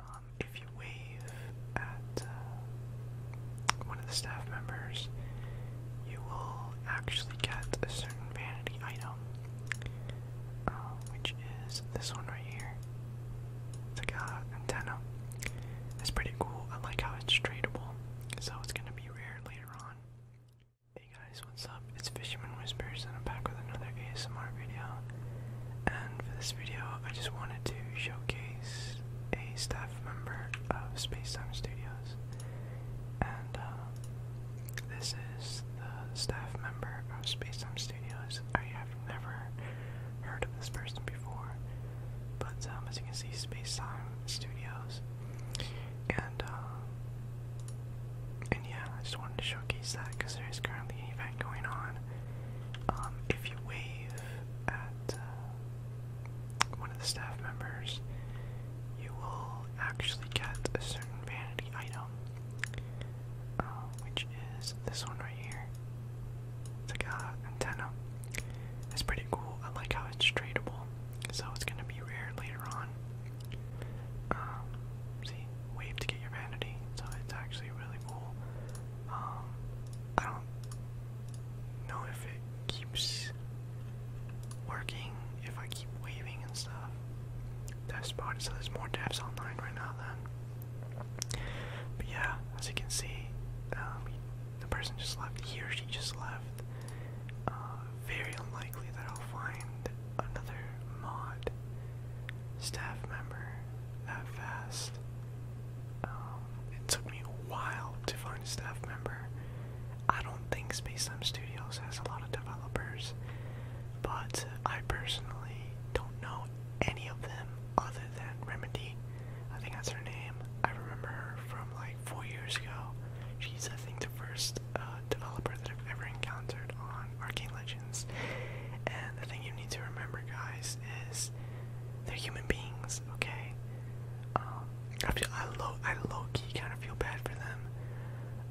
Um, if you wave at uh, one of the staff members, you will actually get a certain vanity item, uh, which is this one right here. It's like an antenna. It's pretty cool. I like how it's tradable, so it's gonna be rare later on. Hey guys, what's up? It's Fisherman Whispers and I'm back with another ASMR video. And for this video, I just wanted to showcase a staff member of Spacetime Studios. And uh, this is the staff member of Spacetime Studios. I have never heard of this person before, but um, as you can see, Spacetime Studios and, uh, and yeah, I just wanted to showcase that because there is currently an event going on. Um, if you wave at uh, one of the staff members, you will actually get a certain vanity item, uh, which is this one right here. It's like an antenna. It's pretty cool. I like how it's tradable, so it's gonna be rare later on. Um, see, wave to get your vanity, so it's actually really cool. Um, I don't know if it keeps working if I keep waving and stuff. Death spot, so there's more devs online right now then. But yeah, as you can see, um, the person just left, he or she just left. Uh, very unlikely that I'll find another mod staff member that fast. Um, it took me a while to find a staff member. I don't think Spacetime Studios has a lot of developers, but I personally don't know any of them other than Remedy. I think that's her name. I remember her from like four years ago. She's, I think, the first uh, developer that I've ever encountered on Arcane Legends. And the thing you need to remember, guys, is they're human beings, okay? Um, I, low, I low key kind of feel bad for them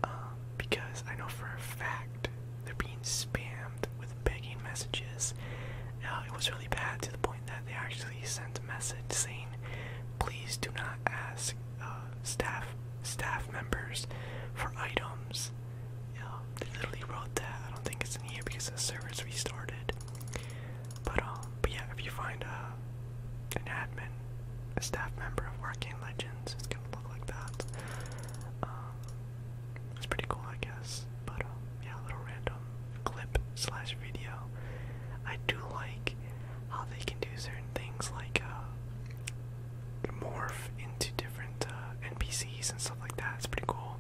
um, because I know for a fact they're being spammed with begging messages. Uh, it was really bad to the point that they actually sent a message saying, please do not ask uh, staff staff members for items. Yeah, they literally wrote that. I don't think it's in here because the server's restarted. But um, but yeah, if you find a uh, an admin, a staff member of Arcane Legends, it's gonna look like that. Um, it's pretty cool, I guess. But um, yeah, a little random clip slash video. I do like how they can do certain things like uh, morph into different uh, NPCs and stuff like that. It's pretty cool.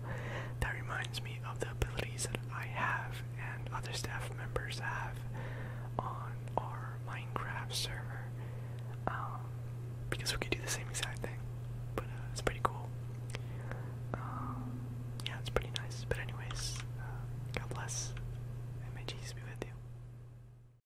That reminds me of the abilities that I have and other staff members have on our Minecraft server. Um, because we could do the same exact thing. But uh, it's pretty cool. Um, yeah, it's pretty nice. But anyways, uh, God bless. And may Jesus be with you.